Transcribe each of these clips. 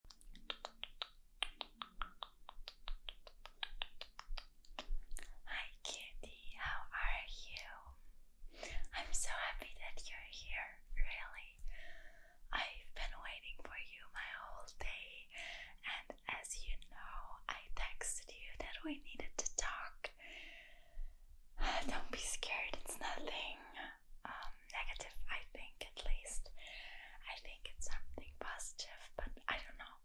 Hi, cutie, how are you? I'm so happy that you're here, really. I've been waiting for you my whole day, and as you know, I texted you that we needed to talk. Don't be scared, it's nothing. Um, negative, I think, at least. I think it's something positive, but I don't know.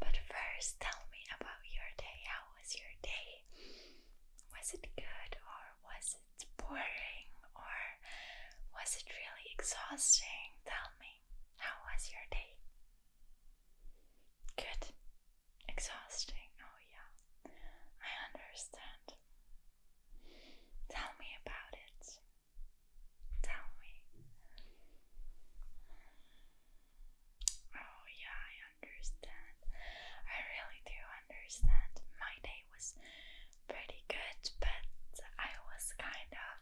But first, tell me about your day. How was your day? Was it good, or was it boring, or was it really exhausting? Tell me, how was your day? Good. Exhausting. Oh, yeah. I understand. Tell me about it. Tell me. Oh, yeah, I understand. I really do understand. My day was pretty good, but I was kind of.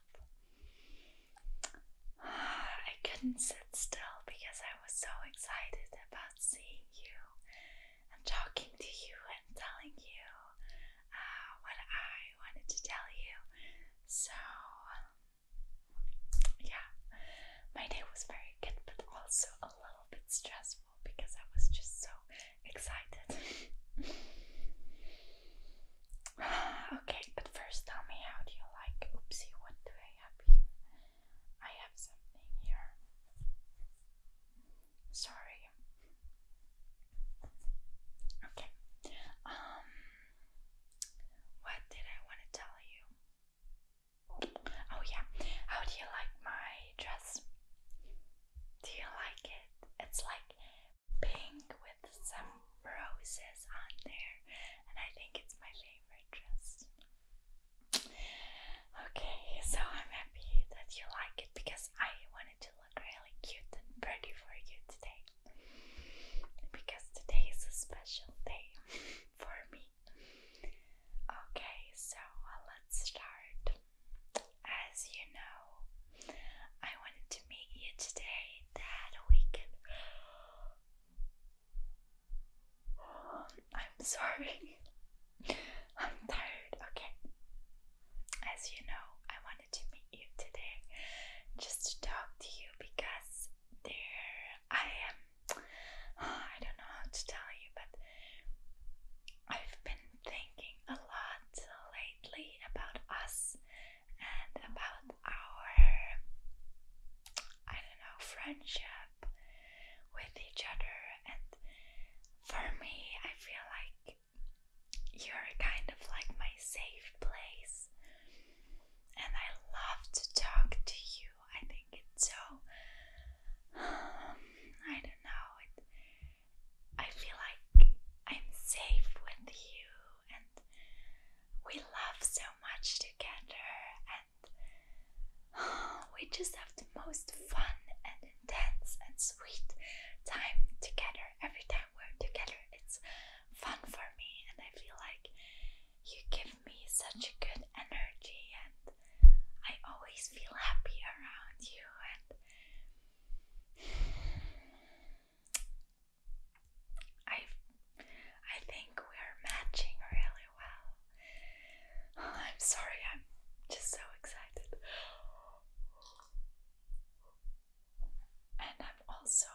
I couldn't sit still because I was so excited about seeing you I'm talking to you and telling you uh, what I wanted to tell you. So, yeah, my day was very good, but also a little bit stressful because I was just so excited. okay, but first tell me how do you like? Oopsie, what do I have here? I have something here. Sorry. Okay. Um what did I want to tell you? Oh yeah. How do you like my dress? Do you like it? It's like pink with some roses on there and I think it's my favorite dress. Okay, so I'm happy that you like it because I wanted to look really cute and pretty for you today. Because today is a special day for me. Okay, so uh, let's start. As you know, I wanted to meet you today that we can. I'm sorry. I'm tired. Okay. As you know, I wanted to meet you today just to talk to you because there I am. I don't know how to tell you, but I've been thinking a lot lately about us and about our, I don't know, friendship with each other. And for me, I feel like you're kind of like my safe place. And I love to talk to you. I think it's so. I don't know. I feel like I'm safe with you, and we love so much together. we just have the most fun and intense and sweet time together. Every time we're together, it's fun for me, and I feel like you give me such a good energy, and I always feel happy around you. And I, I think we're matching really well. I'm sorry, I'm just so excited. And I'm also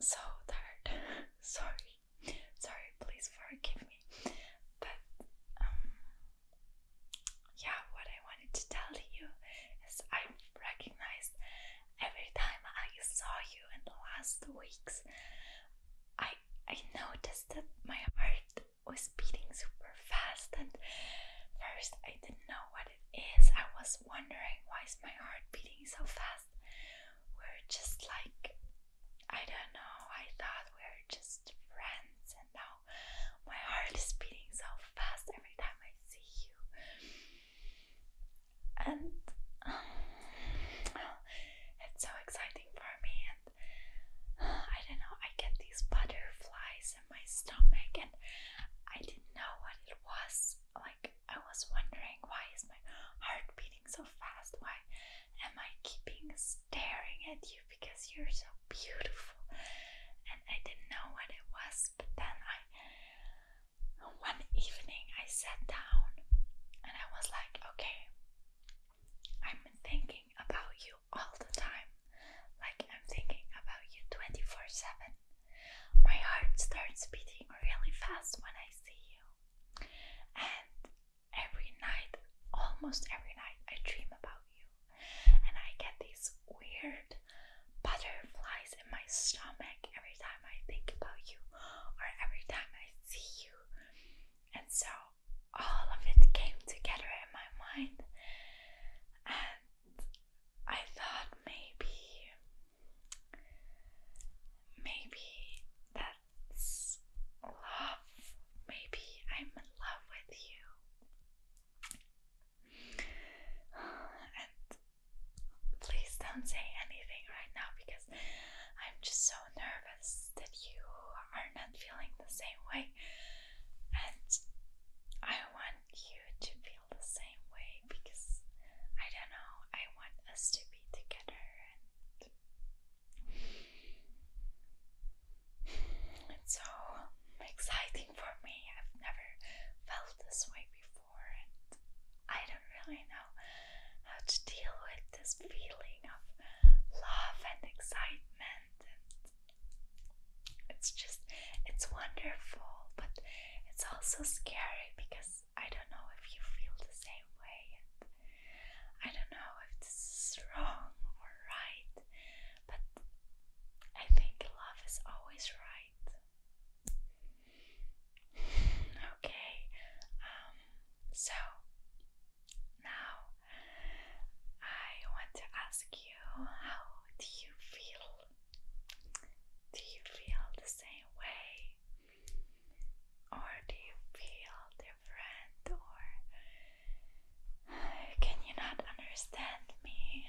so tired. sorry. Sorry, please forgive me. But um, yeah, what I wanted to tell you is I have recognized every time I saw you in the last weeks I I noticed that my heart was beating super fast and first I didn't know what it is. I was wondering why is my heart beating so fast. We're just like I don't know, I thought we we're just friends and now my heart is beating so fast every time I see you. And it's so exciting for me and I don't know, I get these butterflies in my stomach, and I didn't know what it was. Like, I was wondering, why is my heart beating so fast? Why am I keeping staring at you? Because you're so beautiful, and I didn't know what it was. But then one evening, I sat down and I was like, okay, I'm thinking about you all the time, like I'm thinking about you 24 7. My heart starts beating really fast when I see you, and every night, almost every night, I dream about you, and I get these weird butterflies in my stomach every time I think about you or every time I see you. And so all of it came together in my mind, and I thought maybe, maybe that's love. Maybe I'm in love with you. And please don't say anything right now because. I'm just so nervous that you are not feeling the same way. And I want you to feel the same way because I don't know, I want us to be together and it's so exciting for me. I've never felt this way before and I don't really know how to deal with this feeling of love and excitement it's just it's wonderful but it's also scary because I don't know if you feel the same way and I don't know if it's is wrong or right but I think love is always right Okay, um, so now I want to ask you how do you feel? Do you feel the same way? Or do you feel different? Or can you not understand me?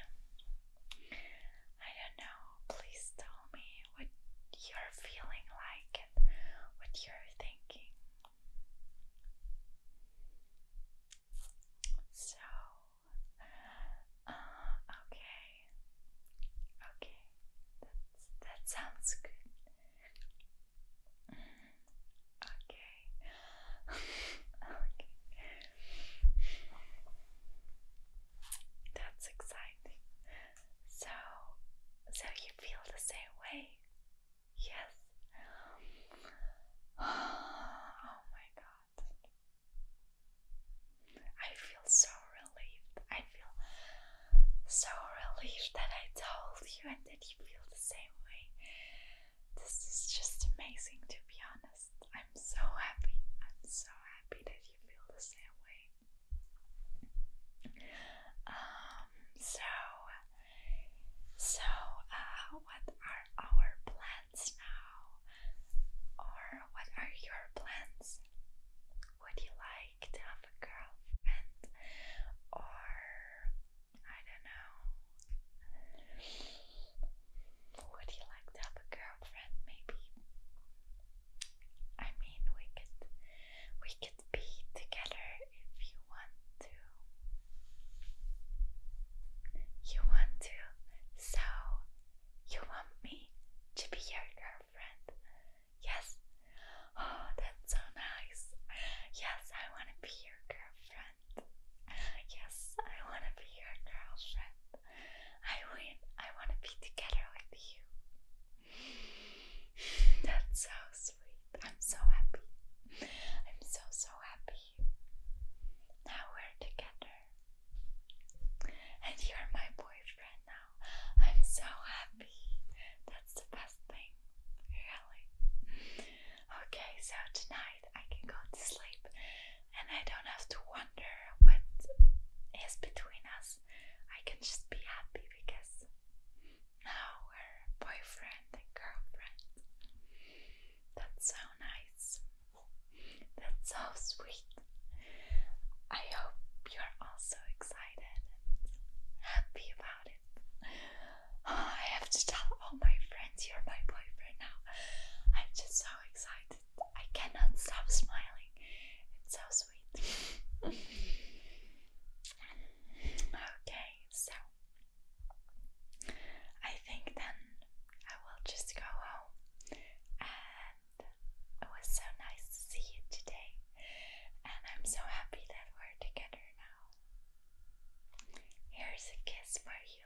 I don't know. Please tell me what you're feeling like what you're thinking. So, uh, okay, okay, That's, that sounds good. okay, okay, that's exciting. So, so you feel the same way? Yes. Oh my god. I feel so relieved. I feel so relieved that I told you and that you feel the same way. This is just amazing to be honest. I'm so happy. I'm so happy that you feel the same way. Um, so, so, uh, what are our plans now? Or what are your plans? Would you like to have a girlfriend? Or, I don't know. Would you like to have a girlfriend? Maybe I mean, we could we could be together if you want to. You want to, so you want me to be your girlfriend? Yes. Oh, that's so nice. Yes, I want to be your girlfriend. Yes, I want to be your girlfriend. I win. I want to be together with you. That's so sweet. I'm so happy. I'm so, so happy. Now we're together. And you're my boyfriend now. I'm so happy. That's the best thing. Really. Okay, so tonight I can go to sleep and I don't have to wonder what is between us. I can just be happy because now we're boyfriend and girlfriend. That's so nice. That's so sweet. I hope you're also excited happy about it. Oh, I have to tell all my friends you're my boyfriend now. I'm just so excited. I cannot stop smiling. It's so sweet. okay, so I think then I will just go home. And it was so nice to see you today. And I'm so happy that we're together now. Here's a kiss for you.